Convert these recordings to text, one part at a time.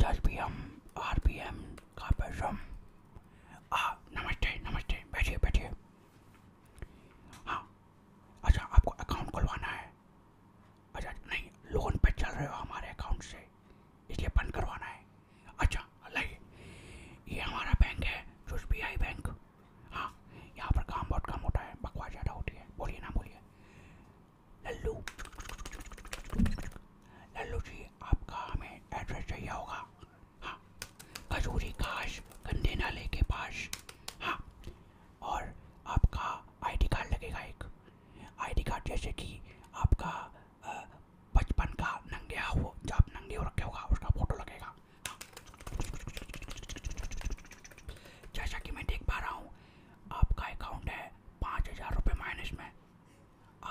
दस B M R B M का पैसम हाँ नमस्ते नमस्ते बैठिए बैठिए हाँ अच्छा आपको अकाउंट खुलवाना है अच्छा नहीं लोन पे चल रहे हो हमारे अकाउंट से इसलिए बंद करवाना है अच्छा लाइए ये हमारा बैंक है जो बी आई बैंक हाँ यहाँ पर काम बहुत कम होता है बकवास ज़्यादा होती है बोलिए ना बोलिए लल्लू लल्लू जी आपका हमें एड्रेस चाहिए होगा हाँ खजूरी घास गंदे नाले के पास हाँ और आपका आईडी कार्ड लगेगा एक आईडी कार्ड जैसे कि आपका बचपन का नंगे हो जो आप नंगे हो रखे होगा उसका फोटो लगेगा हाँ। जैसा कि मैं देख पा रहा हूँ आपका अकाउंट है पाँच हज़ार रुपये माइनस में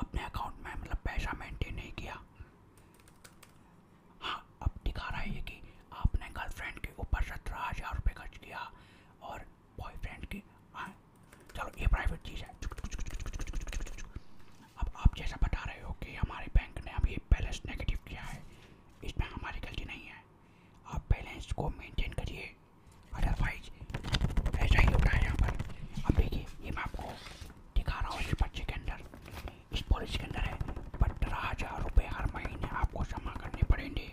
आपने अकाउंट में मतलब पैसा मेंटेन नहीं किया हाँ अब दिखा रहा है ये कि आपने गर्लफ्रेंड के ऊपर सत्रह हज़ार रुपये खर्च किया और बॉयफ्रेंड की हाँ चलो ये प्राइवेट चीज़ है अब आप जैसा बता रहे हो कि हमारे बैंक ने अभी बैलेंस नेगेटिव किया है इसमें हमारी गलती नहीं है आप बैलेंस को मेंटेन करिए अदरवाइज ऐसा ही होता है यहाँ पर अब देखिए ये मैं आपको दिखा रहा हूँ इस पर्चे के अंदर इस पॉलिसी के अंदर है पंद्रह हज़ार रुपये हर महीने आपको जमा करने पड़ेंगे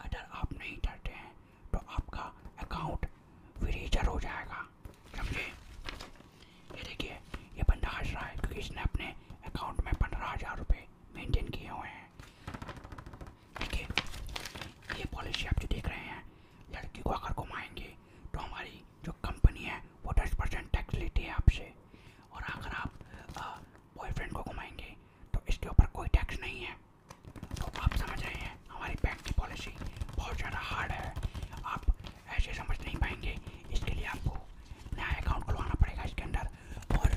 अगर आप नहीं करते हैं तो आपका अकाउंट फ्रीजर हो जाएगा समझे ये देखिए ये बंदा हंस रहा है क्योंकि इसने अपने अकाउंट में पंद्रह हज़ार रुपये मेनटेन किए हुए हैं देखिए ये पॉलिसी आप जो देख रहे हैं लड़की को अगर घुमाएंगे तो हमारी जो कंपनी है वो दस परसेंट टैक्स लेती है आपसे और अगर आप बॉयफ्रेंड को घुमाएंगे तो इसके ऊपर कोई टैक्स नहीं है तो आप समझ रहे हैं हमारी बैंक की पॉलिसी बहुत ज़्यादा हार्ड है आप ऐसे समझ नहीं पाएंगे इसके लिए आपको नया अकाउंट खुलवाना पड़ेगा इसके अंदर और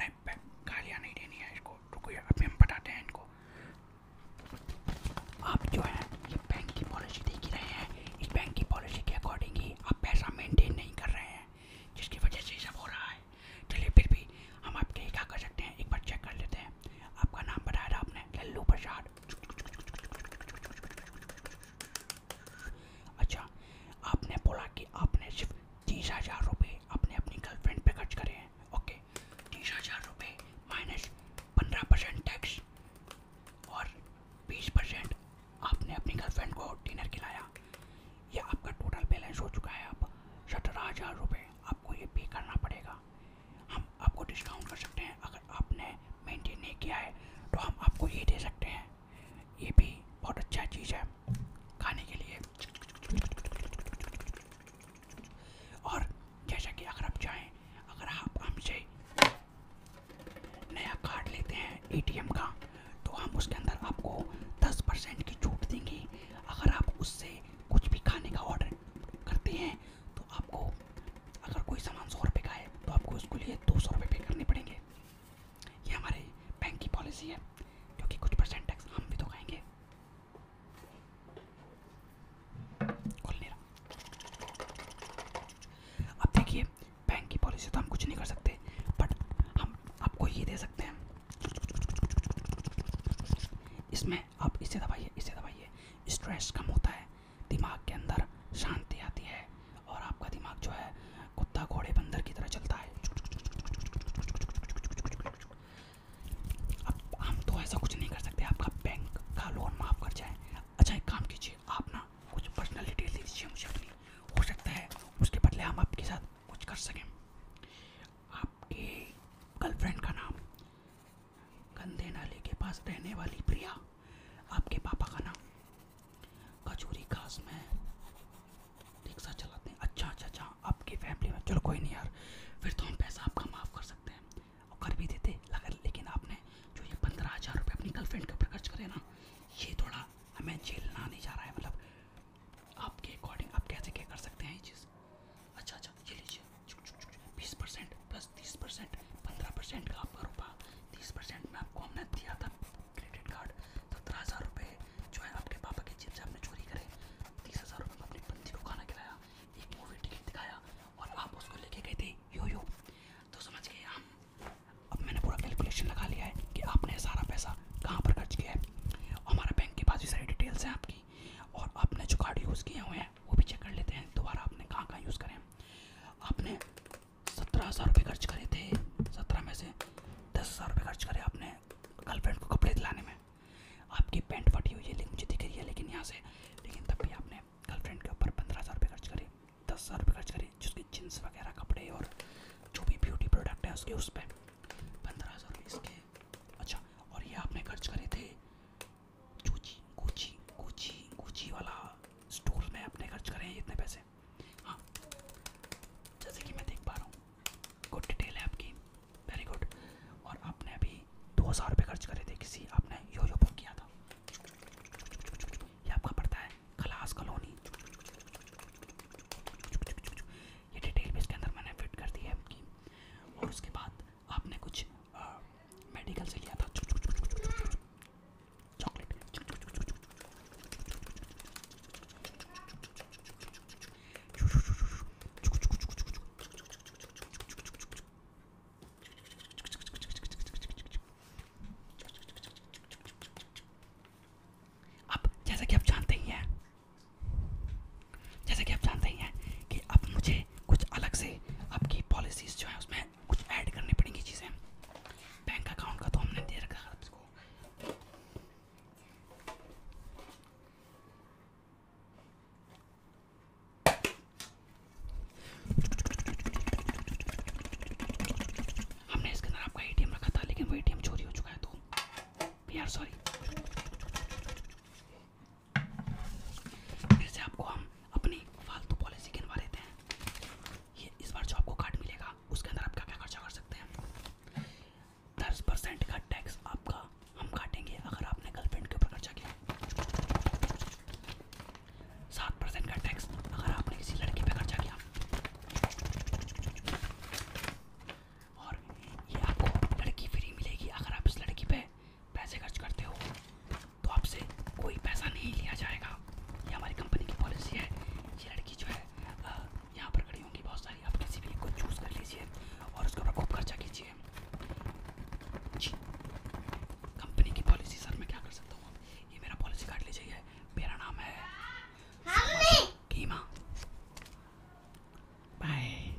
नहीं गालियाँ नहीं देनी है इसको रुको अभी हम बताते हैं इनको आप जो है ये बैंक की पॉलिसी देख ही रहे हैं इस बैंक की पॉलिसी के अकॉर्डिंग ही आप पैसा मेंटेन नहीं कर रहे हैं जिसकी वजह से सब हो रहा है चलिए फिर भी हम आपके क्या कर सकते हैं एक बार चेक कर लेते हैं आपका नाम बताया था आपने लल्लू प्रसाद अच्छा आपने बोला कि आपने सिर्फ तीस हज़ार रुपये अपने गर्लफ्रेंड पे खर्च करे हैं ओके तीस हज़ार रुपये माइनस पंद्रह परसेंट टैक्स और बीस परसेंट आपने अपनी गर्लफ्रेंड को डिनर खिलाया ये आपका टोटल बैलेंस हो चुका है अब सत्रह हज़ार रुपये आपको ये पे करना पड़ेगा हम आपको डिस्काउंट कर सकते हैं अगर आपने मेंटेन नहीं किया है तो हम आपको ये दे सकते हैं ये भी बहुत अच्छा चीज़ है खाने के लिए और जैसा कि अगर आप चाहें अगर आप हमसे नया कार्ड लेते हैं एटीएम का तो हम उसके अंदर आपको 10 परसेंट की छूट देंगे अगर आप उससे कुछ भी खाने का ऑर्डर करते हैं तो आपको अगर कोई सामान सौ रुपये का है तो आपको उसके लिए दो सौ रुपये पे करने पड़ेंगे ये हमारे बैंक की पॉलिसी है क्योंकि कुछ परसेंट टैक्स हम भी तो खाएंगे अब देखिए बैंक की पॉलिसी तो हम कुछ नहीं कर सकते बट हम आपको ये दे सकते हैं इसमें आप इसे दबाइए इसे दबाइए स्ट्रेस कम होता है दिमाग के अंदर शांति आती है और आपका दिमाग जो है कुत्ता घोड़े बंदर की तरह चलता है अब हम तो ऐसा कुछ नहीं कर सकते आपका बैंक का लोन माफ़ कर जाए अच्छा एक काम कीजिए आप ना कुछ पर्सनल डिटेल दे दीजिए मुझे हो सकता है उसके बदले हम आपके साथ कुछ कर सकें आपके गर्लफ्रेंड का नाम गंदे नाले के पास रहने वाली प्रिया आपके पापा का ना कचूरी घास में रिक्शा चलाते हैं अच्छा अच्छा अच्छा आपकी फैमिली में चलो कोई नहीं यार फिर तो हम पैसा आपका माफ़ कर सकते हैं और कर भी देते लगा लेकिन आपने जो ये पंद्रह हज़ार रुपये अपनी गर्लफ्रेंड के ऊपर खर्च करे ना ये थोड़ा हमें झेलना नहीं जा रहा है मतलब आपके अकॉर्डिंग आप कैसे क्या कर सकते हैं ये चीज़ अच्छा अच्छा ये लीजिए बीस परसेंट प्लस तीस परसेंट पंद्रह परसेंट का आपका रुपया तीस परसेंट में आपको हमने दिया था क्रेडिट कार्ड सत्रह हज़ार रुपये जो है आपके पापा की जेब से आपने चोरी करे तीस हज़ार रुपये में अपनी बंदी को खाना खिलाया एक मूवी टिकट दिखाया और आप उसको लेके गए थे यो यो तो समझ गए हम अब मैंने पूरा कैलकुलेशन लगा लिया है कि आपने सारा पैसा कहाँ पर खर्च किया है हमारा बैंक के पास भी सारी डिटेल्स हैं आपकी और आपने जो कार्ड यूज़ किए हुए हैं वो भी चेक कर लेते हैं दोबारा आपने कहाँ कहाँ यूज़ करें आपने सत्रह हज़ार रुपये खर्च करे थे सत्रह में से दस हज़ार रुपये खर्च करे आपने गर्लफ्रेंड को कपड़े दिलाने में आपकी पैंट फटी हुई है लेकिन मुझे दिख रही है लेकिन यहाँ से लेकिन तब भी आपने गर्लफ्रेंड के ऊपर पंद्रह हज़ार रुपये खर्च करे दस हज़ार रुपये खर्च करे जिसकी जीन्स वगैरह कपड़े और जो भी ब्यूटी प्रोडक्ट है उसके उस पर पंद्रह हज़ार रुपये इसके अच्छा और ये आपने खर्च करे थे चूची कूची कूची कूची वाला स्टोर में अपने खर्च करें इतने पैसे हाँ जैसे कि मैं देख पा रहा हूँ गुड डिटेल है आपकी वेरी गुड और आपने अभी दो हज़ार रुपये खर्च करे थे किसी आपने यो यो बुक किया था ये आपका पड़ता है खलास कॉलोनी ये डिटेल भी इसके अंदर मैंने फिट कर दी है आपकी और उसके बाद आपने कुछ आ, मेडिकल से लिया था chocolate. अब जैसा कि आप जानते ही हैं जैसा कि आप जानते ही हैं कि अब मुझे कुछ अलग से आपकी पॉलिसीज़ जो है उसमें कुछ ऐड करनी पड़ेंगी चीज़ें बैंक अकाउंट का तो हमने दे रखा हमने इसके अंदर आपका एटीएम रखा था लेकिन वो एटीएम चोरी हो चुका है तो वी आर सॉरी फिर से आपको हम अपनी फालतू पॉलिसी गिनवा लेते हैं ये इस बार जो आपको कार्ड मिलेगा उसके अंदर आप क्या क्या खर्चा कर सकते हैं दस परसेंट का टैक्स आपका हम काटेंगे अगर आपने गर्लफ्रेंड के ऊपर खर्चा किया सात परसेंट का टैक्स अगर आपने किसी लड़के पे खर्चा किया और ये आपको लड़की फ्री मिलेगी अगर आप इस लड़की पे पैसे खर्च करते हो तो आपसे कोई पैसा नहीं लिया जाएगा ये हमारी कंपनी की पॉलिसी है ये लड़की जो है यहाँ पर खड़ी होंगी बहुत सारी आप किसी भी एक को चूज़ कर लीजिए और उसके ऊपर खूब खर्चा कीजिए जी कंपनी की पॉलिसी सर मैं क्या कर सकता हूँ ये मेरा पॉलिसी कार्ड ले जाइए मेरा नाम है कीमा बाय